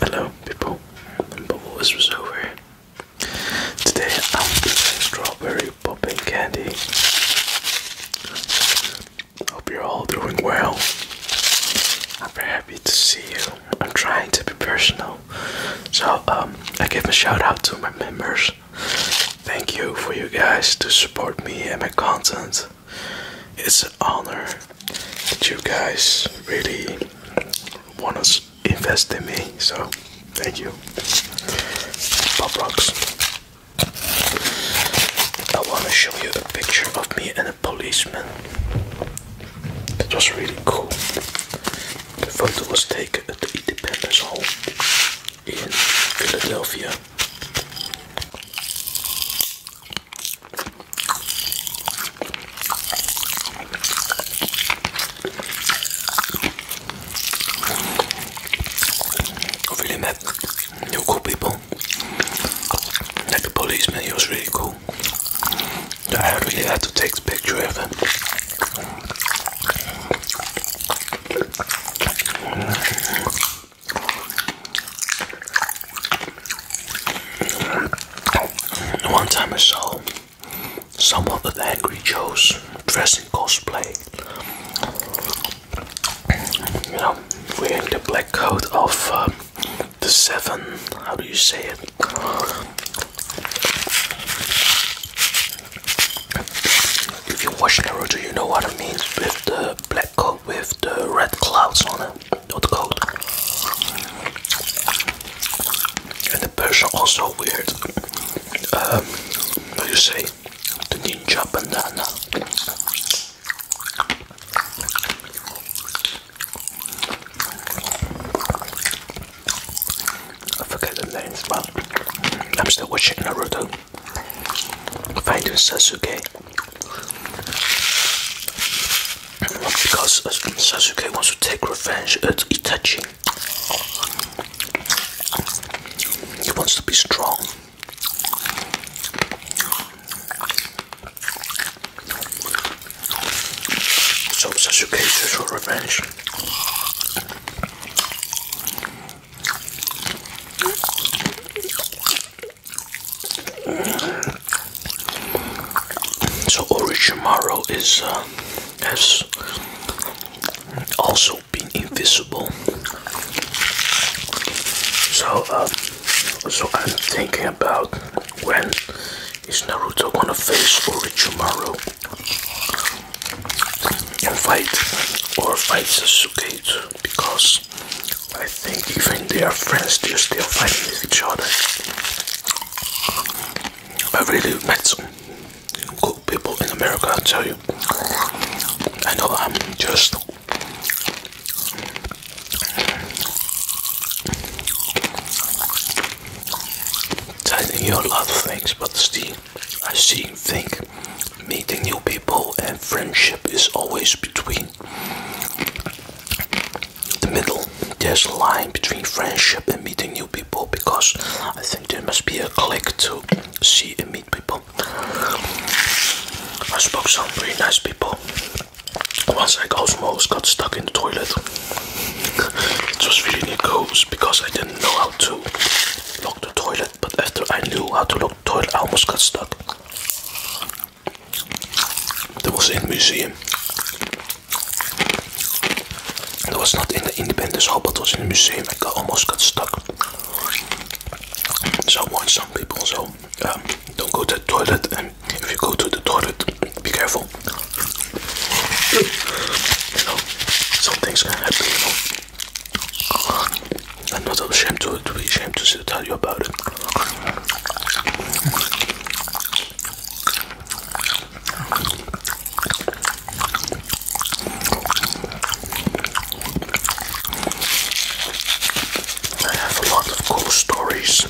Hello, people. And this was over. Today I'm doing strawberry popping candy. Hope you're all doing well. I'm very happy to see you. I'm trying to be personal, so um, I give a shout out to my members. Thank you for you guys to support me and my content. It's honor that you guys really want to invest in me. So, thank you. Pop rocks. I want to show you a picture of me and a policeman. That was really cool. The photo was taken at the Independence Hall in Philadelphia. Really met new cool people. Like the policeman, he was really cool. I really had to take the picture of him. One time I saw someone with angry Joes dressing cosplay. You know, wearing the black coat of um, the seven. How do you say it? If you watch Naruto, you know what it means with the black coat with the red clouds on it not cold. And the person also weird. Um, what you say? The ninja bandana. I forget the names, but I'm still watching Naruto. Fighting Sasuke. Because Sasuke wants to take revenge at Itachi. He wants to be strong. So Sasuke searches for revenge. So Orochimaru is uh, has also been invisible. So uh, so I'm thinking about when is Naruto gonna face Orochimaru and fight or fight Sasuke because I think even their friends, they still fight with each other. I really met some good people in America, I tell you. I know I'm just telling you a lot of things, but still, I see, think, meeting new people and friendship is always between the middle. There's a line between friendship and meeting new people because I think there must be a click to see and meet people. I spoke some pretty nice people. Once I got almost got stuck in the toilet. it was really neat because I didn't know how to lock the toilet but after I knew how to look, toilet almost got stuck. That was in the museum. That was not in the Independence Hall, but was in the museum. I got, almost got stuck. So I some people, so um, don't go to the toilet, and if you go to the toilet, be careful. You know, some things can happen, you know. I'm not ashamed to, be ashamed to tell you about it. I have a lot of cool stories.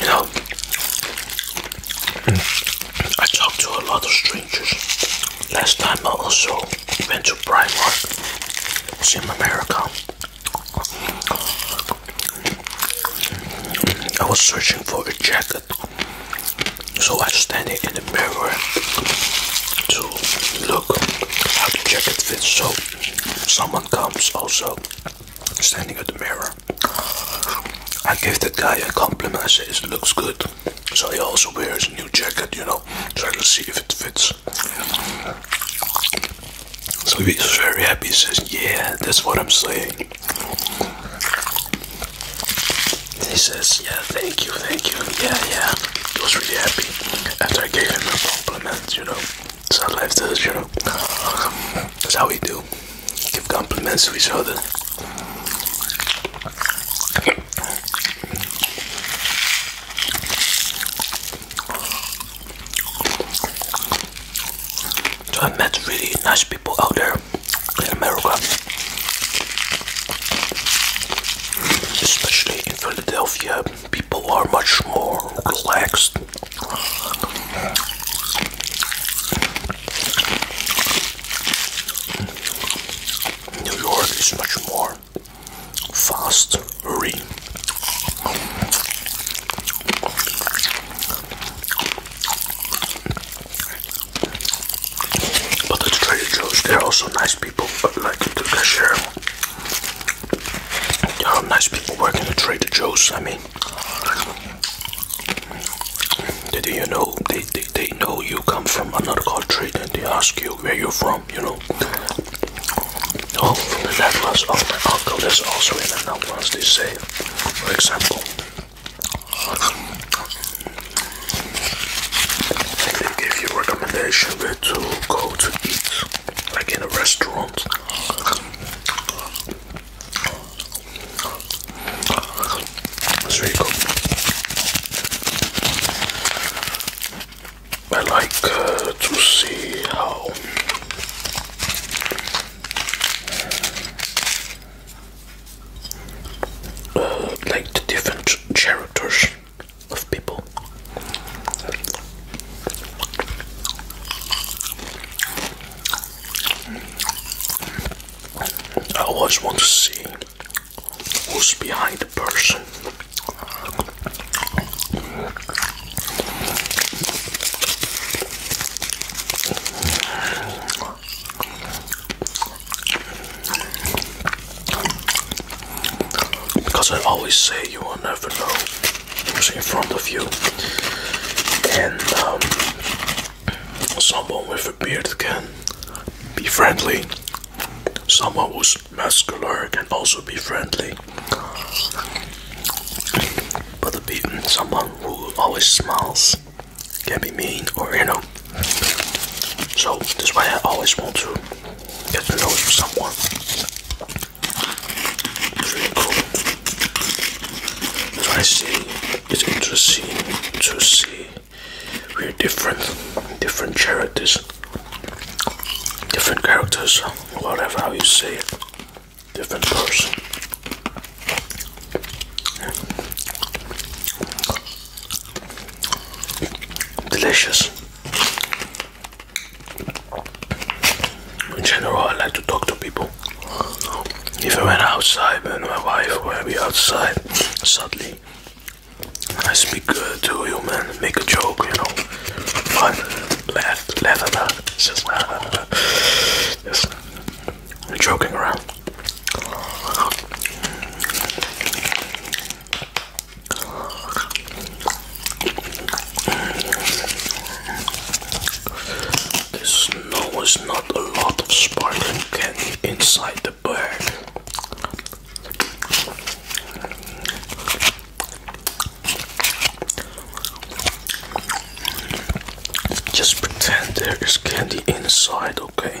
You know, mm, I talked to a lot of strangers. Last time I also went to Primark, it was America. Mm, I was searching for a jacket, so I was standing in the mirror to look how the jacket fits. So someone comes also standing at the mirror. I give that guy a compliment. I said it looks good. So he also wears a new jacket, you know. trying to see if it fits. So he he's very happy. He says, "Yeah, that's what I'm saying." He says, "Yeah, thank you, thank you. Yeah, yeah." He was really happy after I gave him a compliment you know. Sometimes this, you know. That's how we do. Give compliments to each other. So I met really nice people out there in America. Especially in Philadelphia, people are much more relaxed. New York is much more fast hurry. But the Trader Joe's, they're also nice people, but like the cashier. There oh, nice people working at Trader Joe's. I mean, they, they, you know, they, they, they know you come from another country and they ask you where you're from, you know. Oh, the Netherlands. Oh, my uncle is also in the Netherlands, they say. For example, I They give you recommendation where to go to eat, like in a restaurant. It's really cool. I like uh, to see how uh, like the different characters of people. I always want to see who's behind the person. Because I always say you will never know who's in front of you. And um, someone with a beard can be friendly. Someone who's muscular can also be friendly. But the someone who always smiles can be mean or you know so that's why I always want to get to know someone. It's really cool. So I see it's interesting to see we're different different charities, different characters, whatever how you say it, different person. Delicious. In general, I like to talk to people. Even when outside, when my wife, when we outside, sadly, I speak uh, to you, man. Make a joke, you know. Fun, laugh, laugh about it. Just, uh, just joking around. This snow is not a lot of sparkling candy inside the bag. Just pretend there is candy inside, okay?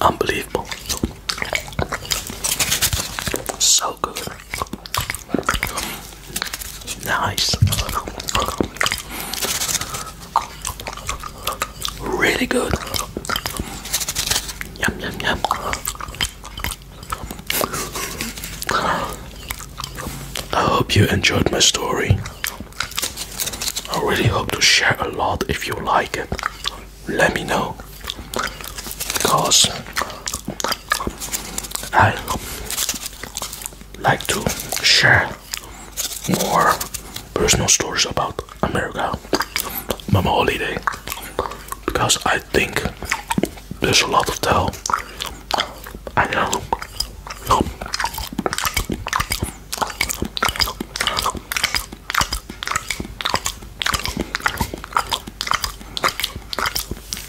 Unbelievable. So good. Nice. Really good. Yum, yum, yum. I hope you enjoyed my story. I really hope to share a lot if you like it. Let me know because I like to share more personal stories about America, my holiday, because I think there's a lot to tell. I know.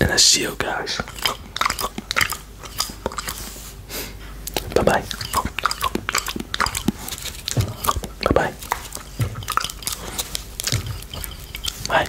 And I see you guys. Bye bye. Bye bye. Bye.